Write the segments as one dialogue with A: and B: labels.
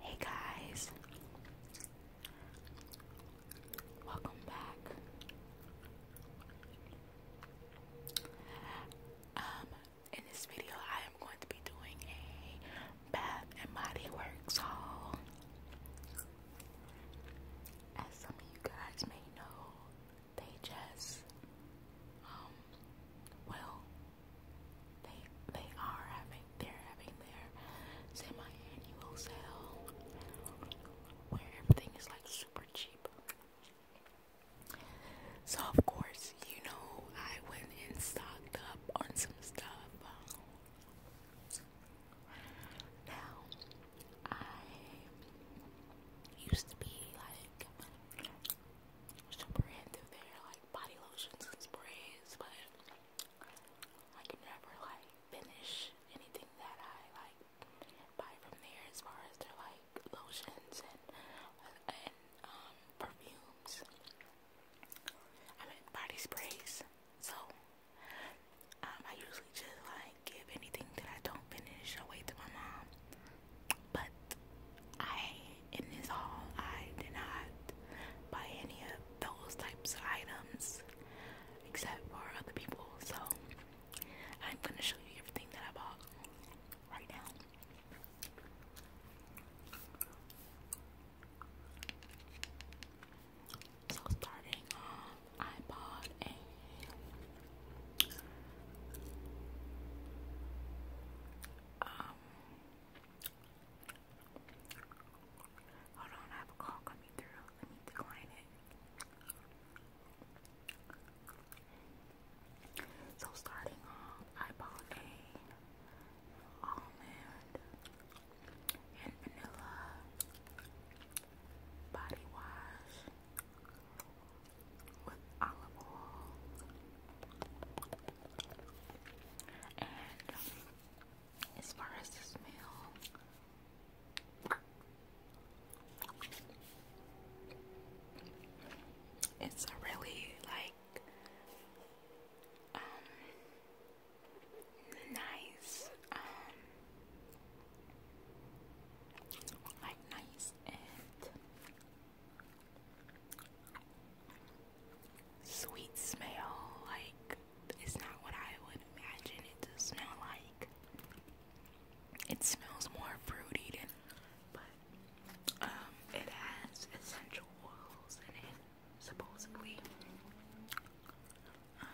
A: Hey guys, welcome back. Um, in this video, I am going to be doing a bath and body works haul. As some of you guys may know, they just um well they they are having they're having their semi-annual sale where everything is like super cheap. So of course, you know, I went and stocked up on some stuff. Now, I used to be like super into their like body lotions and sprays, but I could never like finish anything that I like buy from there as far as their like lotions and and um, perfumes. I mean body sprays. So um, I usually just like give anything that I don't finish away to my mom. But I, in this haul, I did not buy any of those types of items except for other people. So I'm gonna show you everything that I bought right now. So starting um, iPod and um hold on I have a call coming through. Let me decline it. So starting off I bought a almond and vanilla body wash with olive oil. And as far as the smell, it's a really like um nice um like nice and sweet smell. Like it's not what I would imagine it to smell like. It smells more fruity but um, it has essential oils in it, supposedly. Um,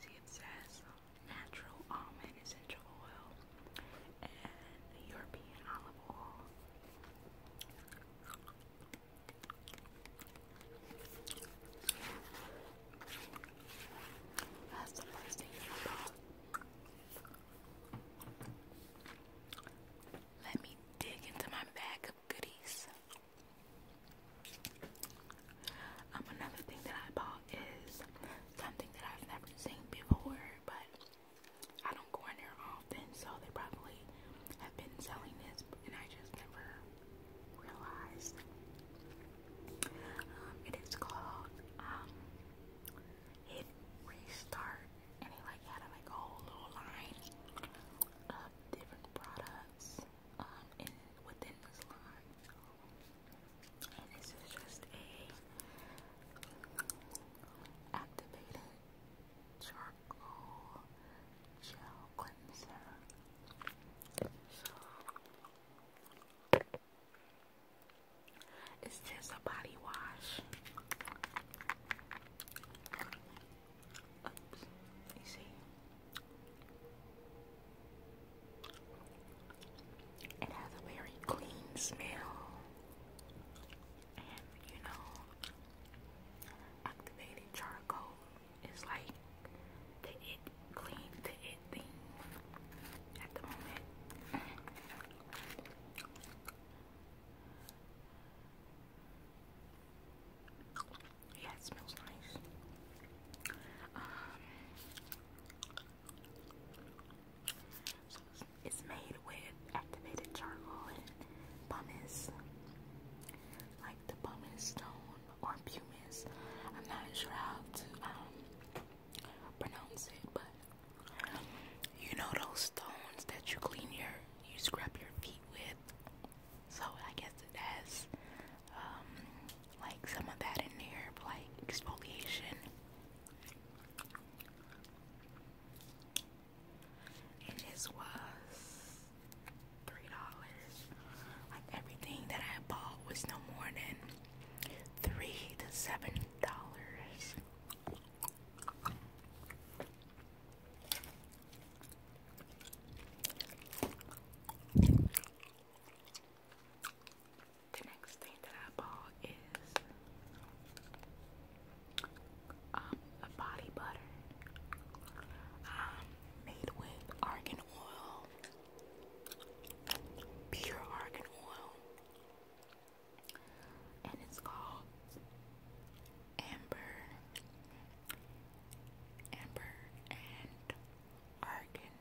A: see it says natural almond essential oil and European olive oil. That's the first thing I thought. Let me dig into my bag goodies. Um, another thing that I bought is something that I've never seen before, but I don't go in there often, so they probably have been selling this, and I just never realized. Um, it is called um, Hit Restart, and it like had a, like whole little line of different products um, in within the salon. And this is just a activated charcoal gel cleanser. So it's just a body wash you see. It has a very clean smell, you know, activated charcoal is like the it clean the it thing at the moment. Yeah, it smells nice. Um, it's made with activated charcoal and pumice, like the pumice stone or pumice. I'm not sure how to um, pronounce it, but you know those stones that you clean your, you scrub your feet with. So I guess it has um, like some of that in there, like exfoliation. And this was three dollars. Like everything that I bought was no more than three to seven dollars. The next thing that I bought is um, a body butter um, made with argan oil, pure argan oil, and it's called amber, amber, and argan,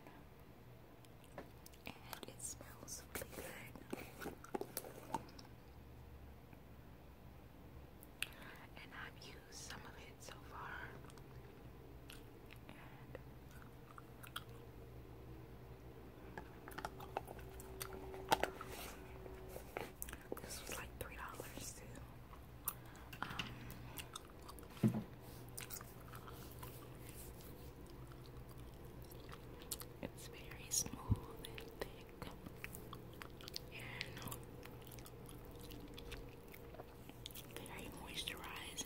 A: and it smells really good. And I've used some of it so far, this was like three dollars too. Um, it's very smooth and thick, and very moisturizing.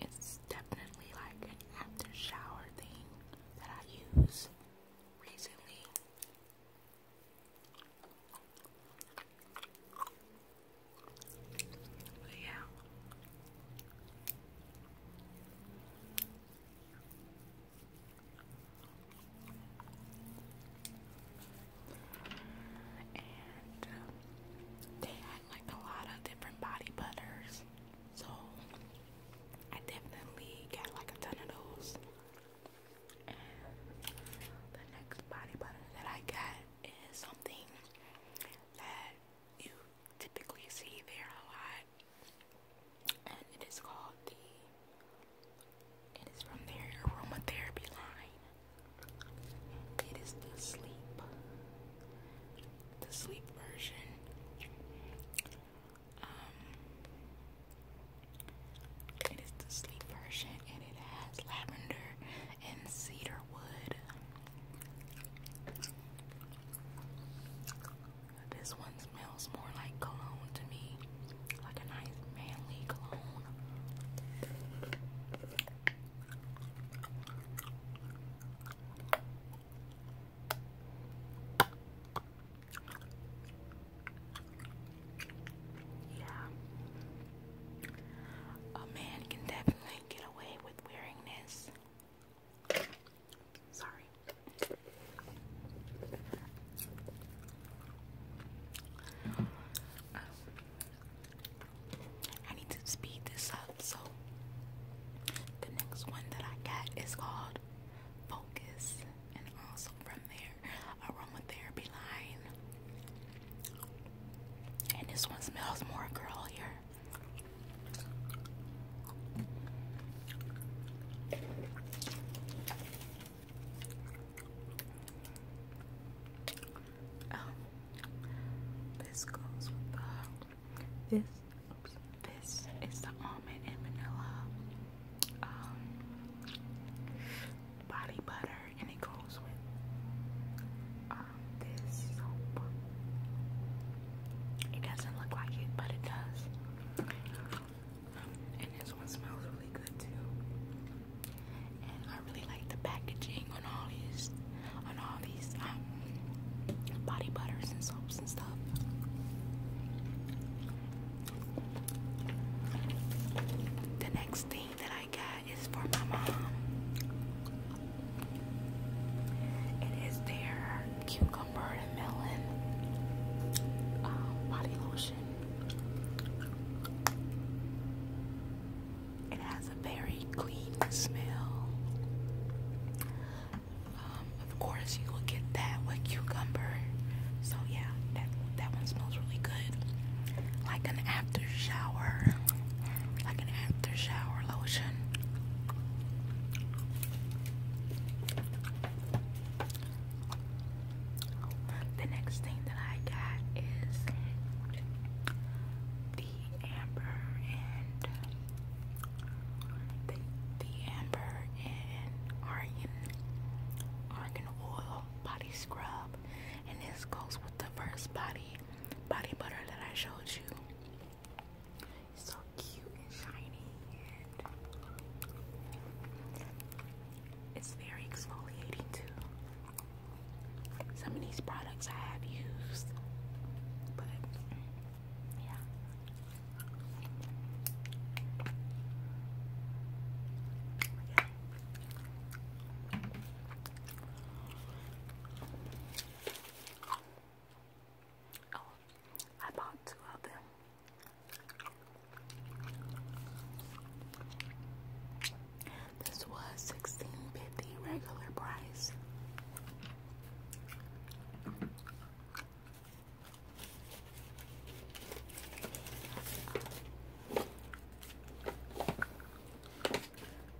A: It's definitely like an after shower thing that I use recently but yeah. And um, they had like a lot of different body butters. So I definitely got like a ton of those. And the next body butter that I got is something that you typically see there a lot. And it is called the it is from their aromatherapy line. It is the sleep. The sleep version. Um, it is the sleep version and it has lavender and cedar wood. This one smells more like cologne to me, like a nice manly cologne. Yeah. A man can definitely get away with wearing this. Sorry. I need to speed this up. So, the next one that I get is called Focus and also from their aromatherapy line. And this one smells more girl oh, this goes with this this is the almond and vanilla um, body butter, and it goes with um, this soap. It doesn't look like it, but it does. And this one smells really good too. And I really like the packaging on all these, on all these um, body butters and soaps and stuff. The next thing that I got is for my mom. It is their cucumber and melon uh, body lotion. It has a very clean smell. Um, of course, you will get that with cucumber. So yeah, that that one smells really good. Like an after shower, like an after shower lotion. The next thing that I got is the amber and the, the Amber and Argan, Argan Oil Body Scrub. And this goes with the first body, body butter that I showed you. It's so cute and shiny and it's very exfoliating too. Some of these products I have used, but yeah. Okay. Oh, I bought two of them. This was sixteen fifty regular price.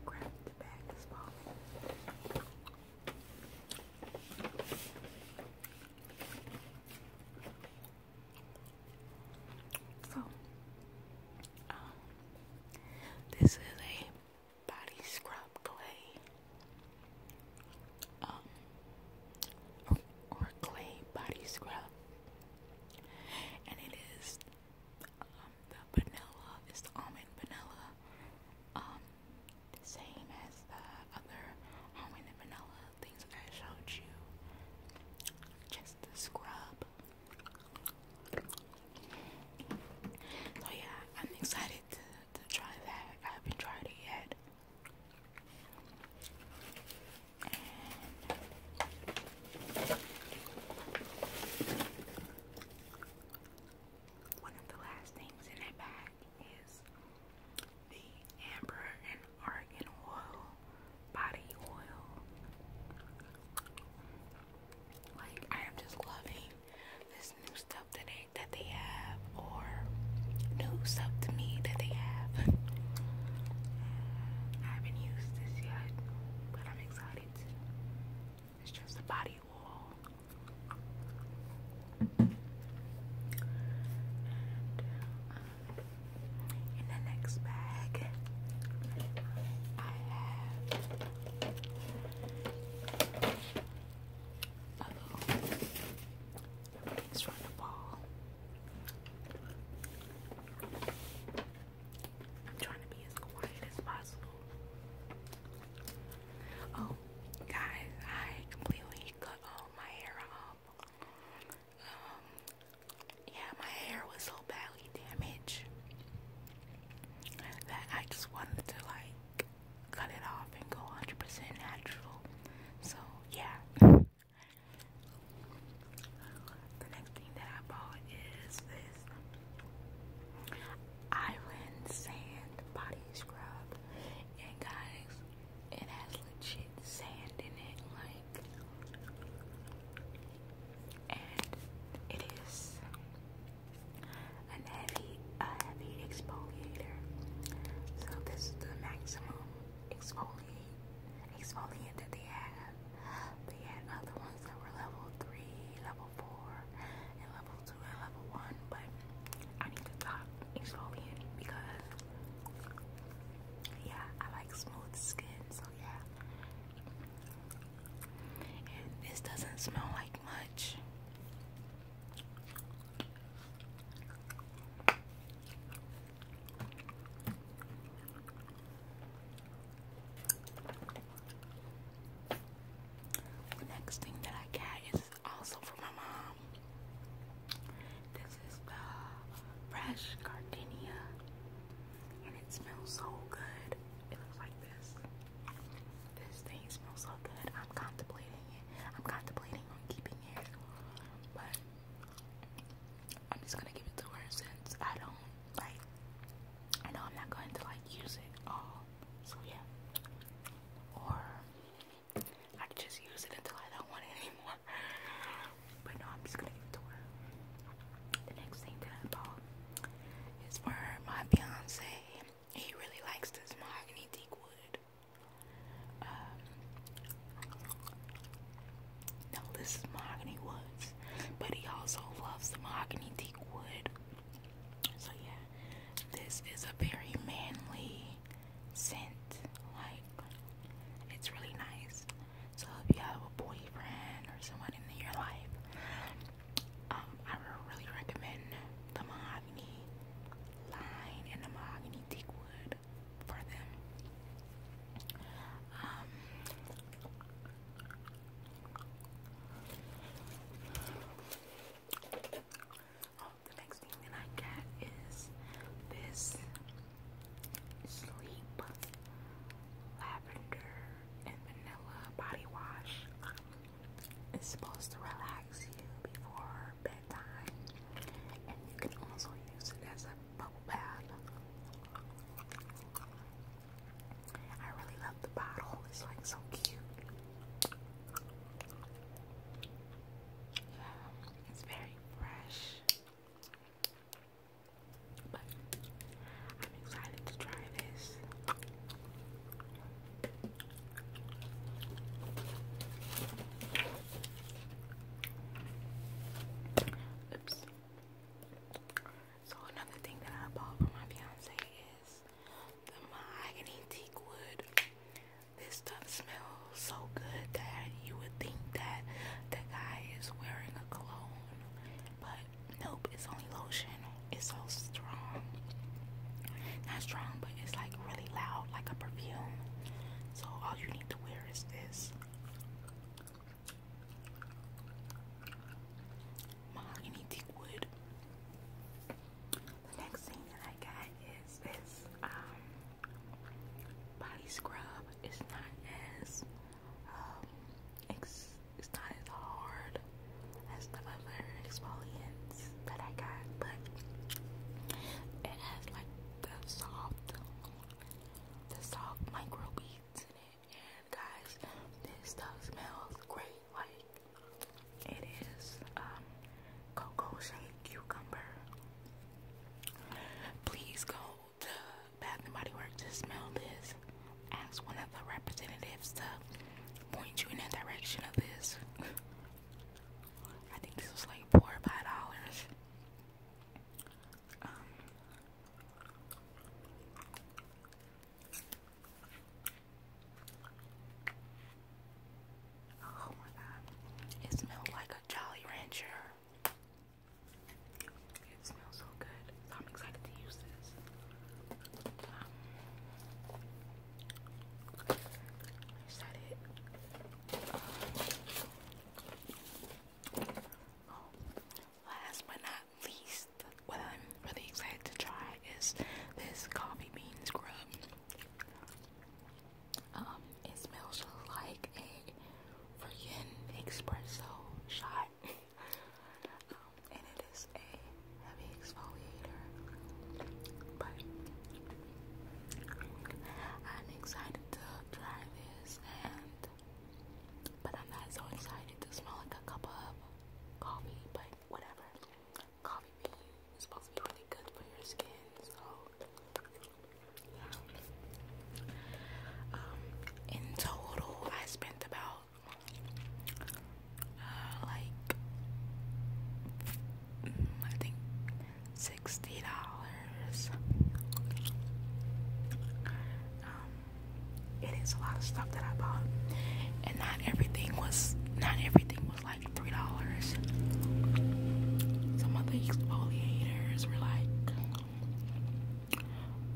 A: Grab the bag as well. So, um, this is a body scrub clay um, or, clay body scrub, and it is um, the vanilla, it's the almond vanilla, um, the same as the other almond vanilla things that I showed you. Just the scrub. So yeah, I'm excited to try that. I haven't tried it yet. one of the last things in that bag is the Amber and Argan Oil Body Oil. Like, I am just loving this new stuff something that they have or new stuff to me that they have. Mm, I haven't used this yet, but I'm excited It's just a body wall. Uh, in the next bag, I have uh oh. Everything's trying to trying to be as quiet as possible. Oh, guys, I completely cut all my hair off. Um, yeah, my hair was so badly damaged that I just wanted to like cut it off and go 100% natural. So, yeah. The next thing that I bought is this Island Sand Body Scrub. And, guys, it has legit sand in it. Like, and it is an heavy, a heavy exfoliator. So this is the maximum exfoliate, they have. They had other ones that were level three, level four, and level two and level one. But I need the top exfoliant because yeah, I like smooth skin. So yeah. this doesn't smell like much. The next thing that I got is also for my mom. This is the uh, fresh gardenia, and it smells so good. It looks like this. This thing smells so good. I'm contemplating it. I'm contemplating on keeping it, but I'm just gonna give it to her since I don't like. I know I'm not going to like use it all, so yeah. Or I could just use it until I don't want it anymore. But no, I'm just gonna give it to her. The next thing that I bought is for my fiance. He really likes this mahogany teak wood. Um, no, this is mahogany woods, but he also loves the mahogany teak wood. So yeah, this is a very manly scent. Like it's really nice. So if you have a boyfriend or someone in your life um, I really recommend the mahogany line and the mahogany teak wood for them. Um, oh, the next thing that I got is this sleep lavender and vanilla body wash. It's supposed to relax you before bedtime, and you can also use it as a bubble bath. I really love the bottle, it's like so cute. Yeah, it's very fresh. But I'm excited to try this. Oops. So another thing that I bought for my fiance is the mahogany teak wood. This stuff smells so good that you would think that the guy is wearing a cologne, but nope, it's only lotion. It's so strong. Not strong, but it's like really loud, like a perfume. So all you need to wear is this mahogany teak wood. The next thing that I got is this um, body scrub. It's not as it's, um, it's not as hard it's some exfoliants that I got, but it has like the soft, the soft micro beads in it. And guys, this stuff smells great. Like it is um, cocoa shaped cucumber. Please go to Bath and Body Works to smell this. Ask one of the representatives to point you in the direction of this. I think this was like four or five dollars. Um, oh my god, it smells like a Jolly Rancher. It smells so good. I'm excited to use this. Um, is that it? Oh, last but not least, what I'm really excited to try is this coffee bean scrub. Um, it smells like a freaking espresso shot. Um, and it is a heavy exfoliator, but I'm excited to try this, and but I'm not so excited to smell like a cup of coffee, but whatever. Coffee bean is supposed to be really good for your skin, so Um, in total, I spent about like I think sixty dollars. Um, it is a lot of stuff that I bought, and not everything was not everything was like three dollars. Some of the exfoliators were like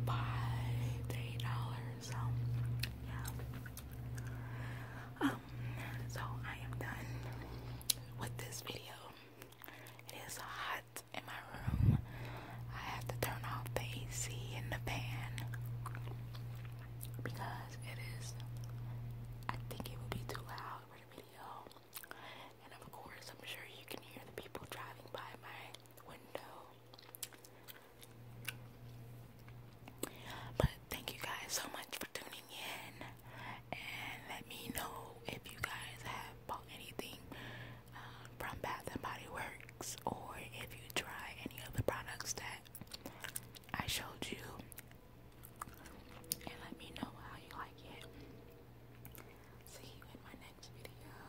A: five eight dollars. So yeah. Um, so I am done with this video. It is hot in my room. I have to turn off the AC in the fan because it is I think it would be too loud for the video. And of course I'm sure you can hear the people driving by my window. But thank you guys so much for tuning in. And let me know if you guys have bought anything uh, from Bath and Body Works or if you try any of the products that I showed you. And let me know how you like it. See you in my next video.